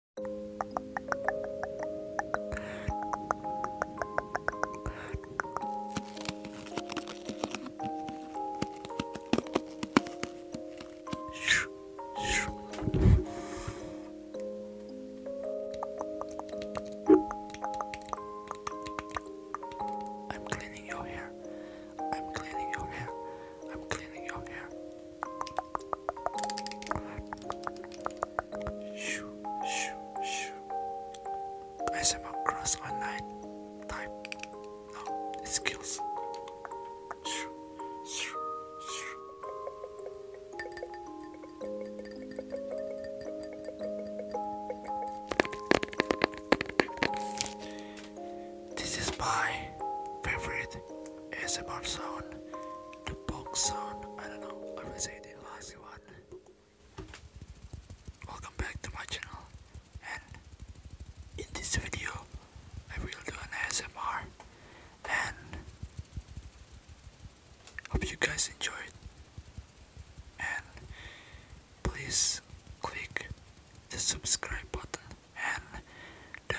I'm cleaning your hair. I'm cleaning your hair. I'm cleaning your hair. Shoo, shoo, Online type. No, skills. This is my favorite with ASMR sound, the box sound, I don't know, I will say the last one. Welcome back to my channel and in this video I will do an ASMR and hope you guys enjoy it and please click the subscribe button and the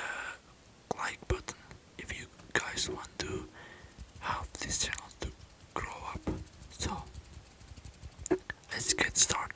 like button if you guys want to help this channel to grow up. So, let's get started.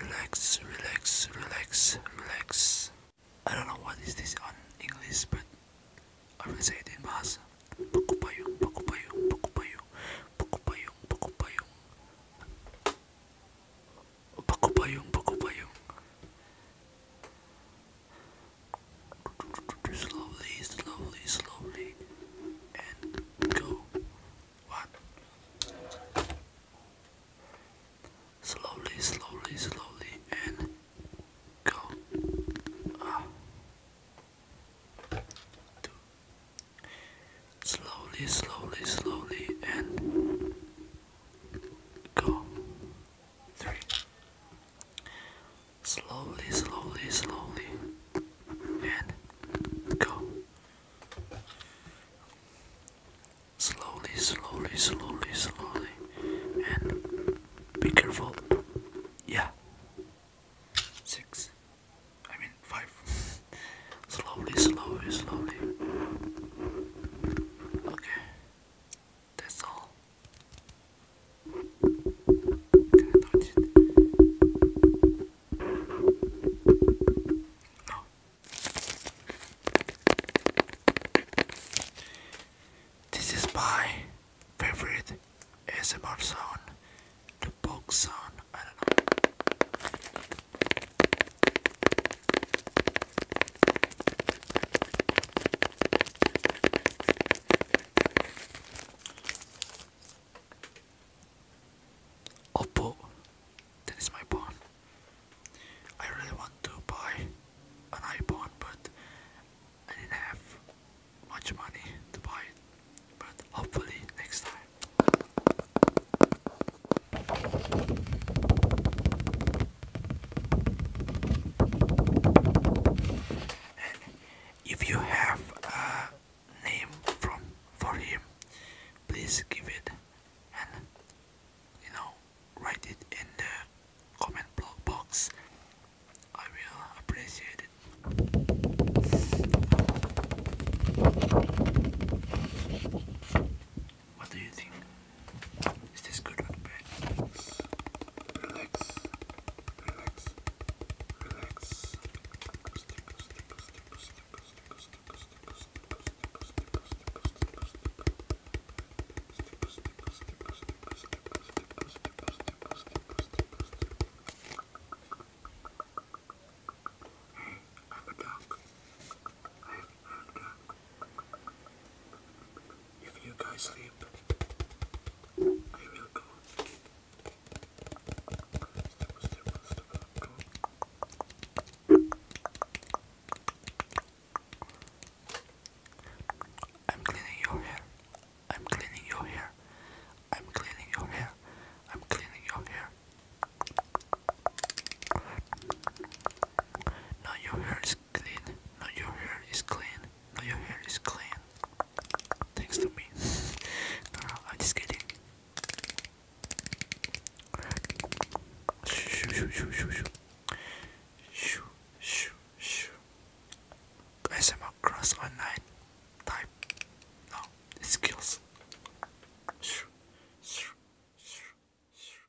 Relax, relax, relax, relax. I don't know what is this on English, but I will say it in Bahasa. Pukupayung, pukupayung, pukupayung, pukupayung, pukupayung. Pukupayung, pukupayung slowly, slowly, slowly, and go. What? Slowly, slowly, slowly, and go. Ah. Two. Slowly, slowly, slowly, and go. Three slowly, slowly, slowly, and go. Slowly, slowly, slowly, slowly, and be careful. Yeah. Six. I mean, five. slowly, slowly, slowly. Okay. 됐어. 어. This is my favorite SMR song. the bog song. I don't know. Oppo, that is my phone. I really want to buy an iPhone, but I didn't have much money to buy it. But hopefully next time. If you have a name from for him, please give it and you know write it in the comment box. I will appreciate it. What do you think? Is this good or bad? Relax, relax, relax, relax. Hey, I'm a dog. I'm a dog. If you guys sleep, I will go. I'm cleaning your hair. I'm cleaning your hair. I'm cleaning your hair. I'm cleaning your hair. Now your hair is Clean. No, your hair is clean. No, your hair is clean. Thanks to me. Girl, I'm just kidding. Shoo, shoo, shoo, shoo, shoo. Shoo, shoo, shoo. SMR cross online type. No, skills. Shoo, shoo, shoo, shoo.